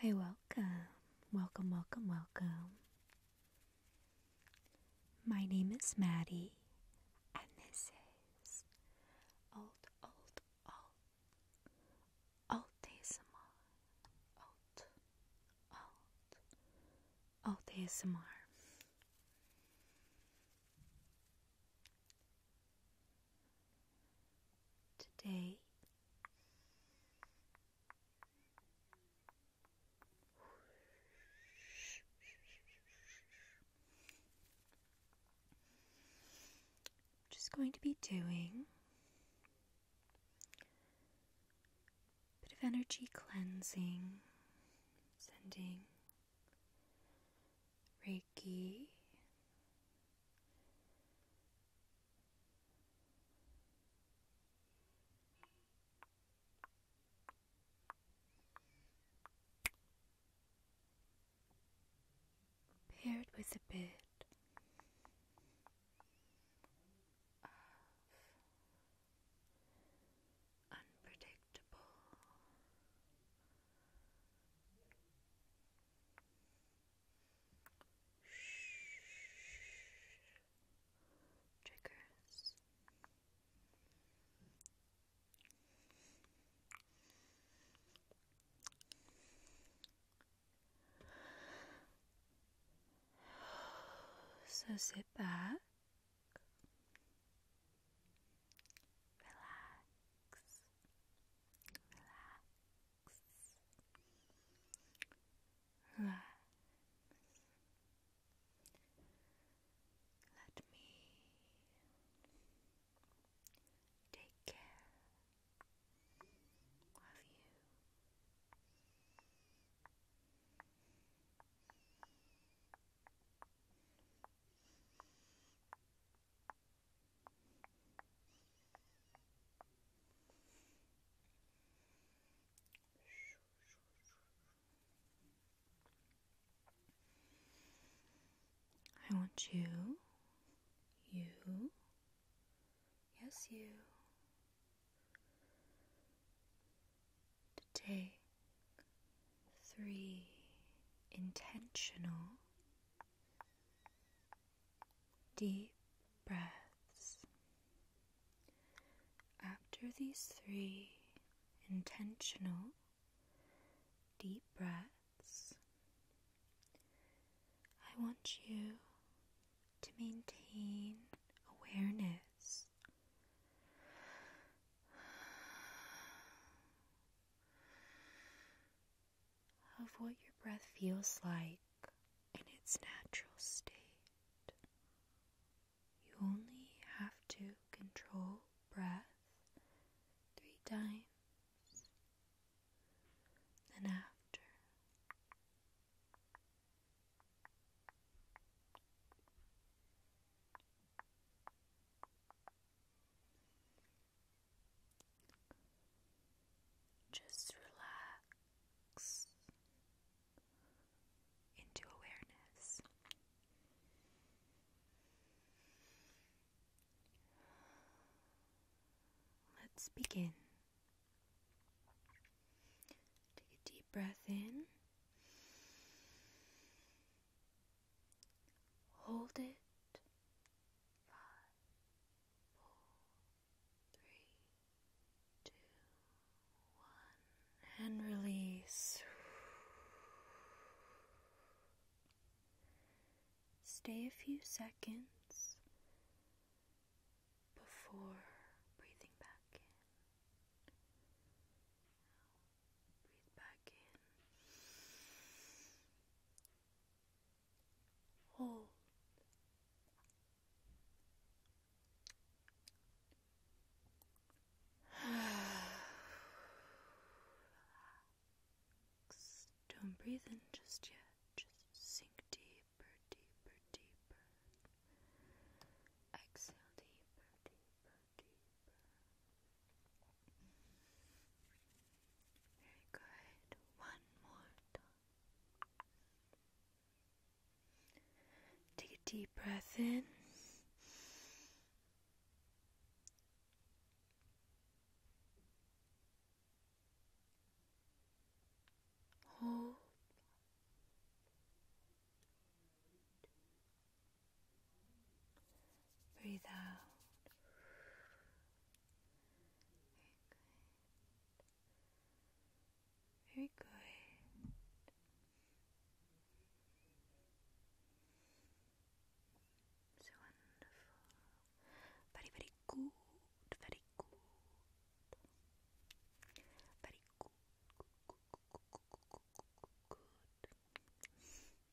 Hi, welcome, welcome, welcome, welcome. My name is Maddie, and this is Alt, Alt, Alt, Altesimal, Alt, Alt, Altesimar. Today, I'm just going to be doing a bit of energy cleansing, sending Reiki. Paired with a bit of unpredictable Triggers. So sit back, relax, Relax. Relax. Let me take care of you. Relax. I want you, you, yes, you, to take three intentional Deep breaths. After these three intentional deep breaths, I want you to maintain awareness of what your breath feels like in its natural state. You only have to control breath three times, then after. Just relax into awareness. Let's begin. Take a deep breath in. Hold it four, three, two, one, and release. Stay a few seconds before breathing back in. Breathe back in. Don't breathe in just yet. Just sink deeper, deeper, deeper. Exhale deeper, deeper, deeper. Very good. One more time. Take a deep breath in. Hold. Breathe out. Very good. So wonderful. Very, very good. Very good. Very good.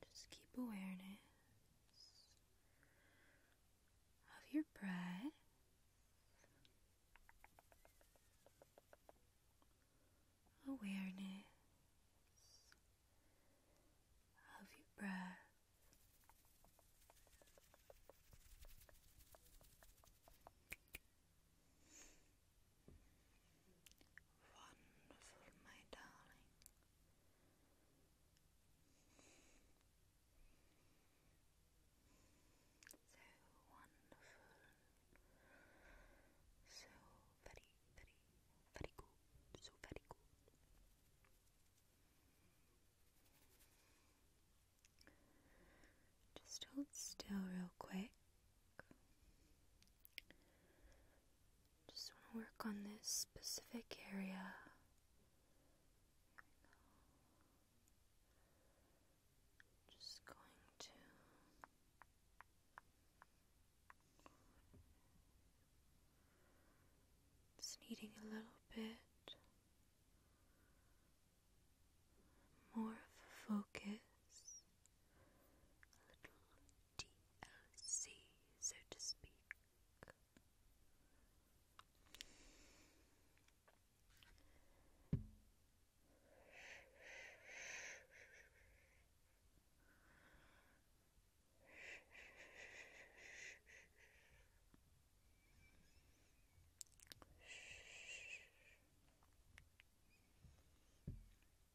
just keep awareness of your breath. Awareness of your breath. Wonderful, my darling. So wonderful. So very, very, very cool. So very cool. Just hold still real quick. Just want to work on this specific area. Just going to just needing a little bit more of focus, DLC, so to speak.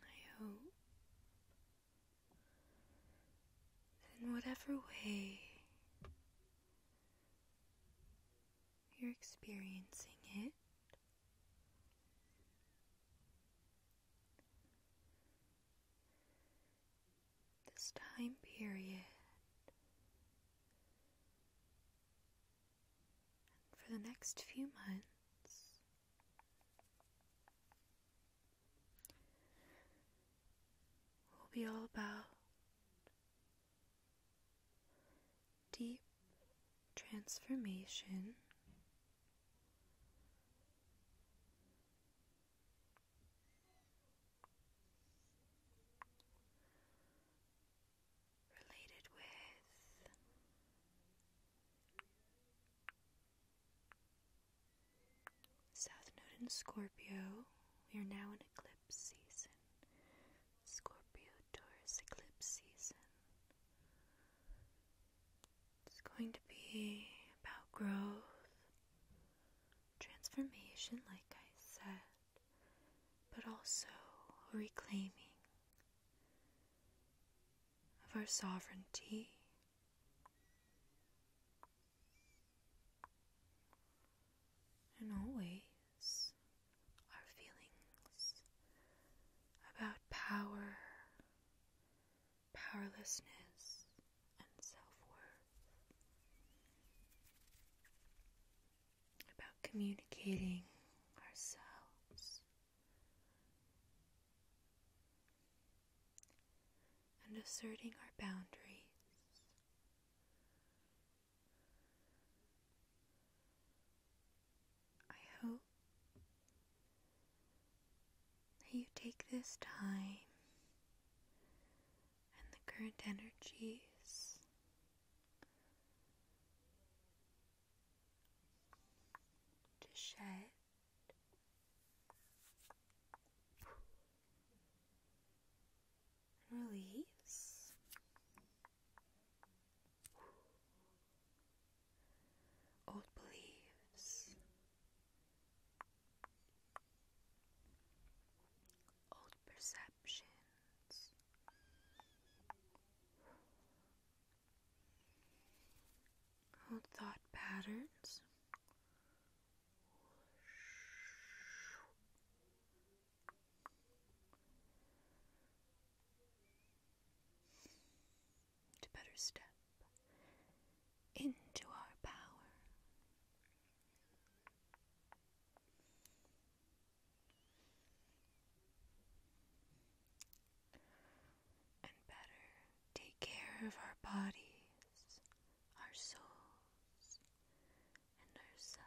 I hope in whatever way you're experiencing it this time period. for the next few months, will be all about deep transformation related with South Node in Scorpio. We are now in eclipse season. Scorpio Taurus eclipse season. It's going to be about growth, transformation, like I said, but also reclaiming of our sovereignty. And always our feelings about power powerlessness, and self worth, about communicating ourselves, and asserting our boundaries. I hope that you take this time and the current energies to shed. Release old beliefs old perceptions. Old thought patterns, to better step into our power. And better take care of our bodies, our souls, and ourselves.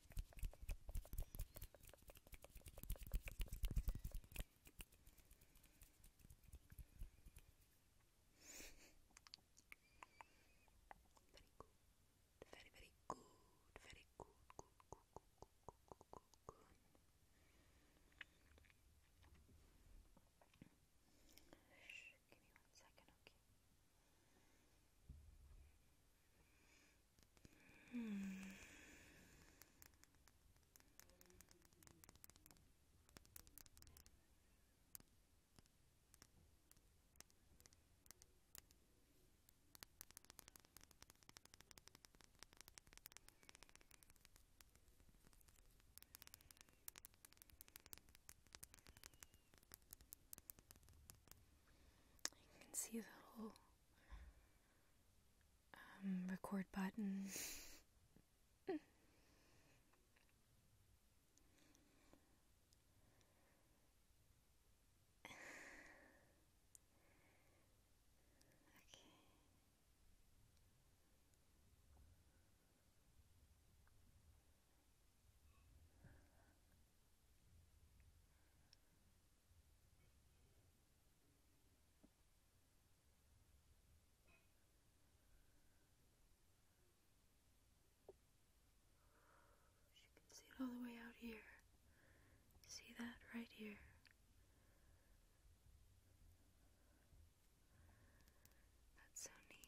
Very, very good. Very good. Good, good, good, good, good, good, Shh, give me one second, you hmm. can see the whole um, record button. You can see it all the way out here. See that right here. That's so neat.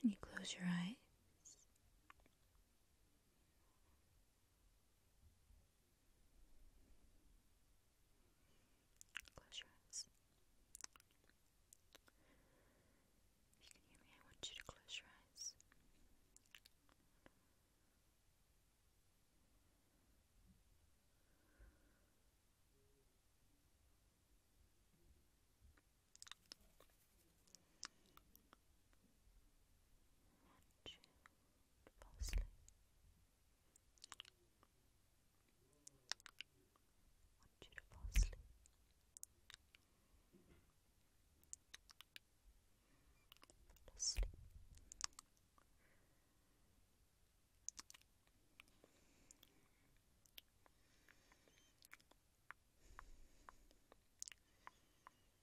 Can you close your eyes? Close your eyes. If you can hear me, I want you to close your eyes. One, two, to fall asleep. I want you to fall asleep. Fall asleep. Fall asleep. It's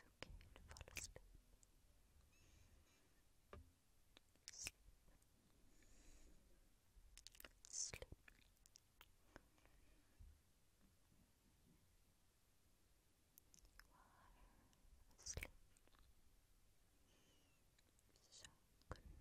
okay to fall asleep. Sleep. Sleep. You are asleep. So good night.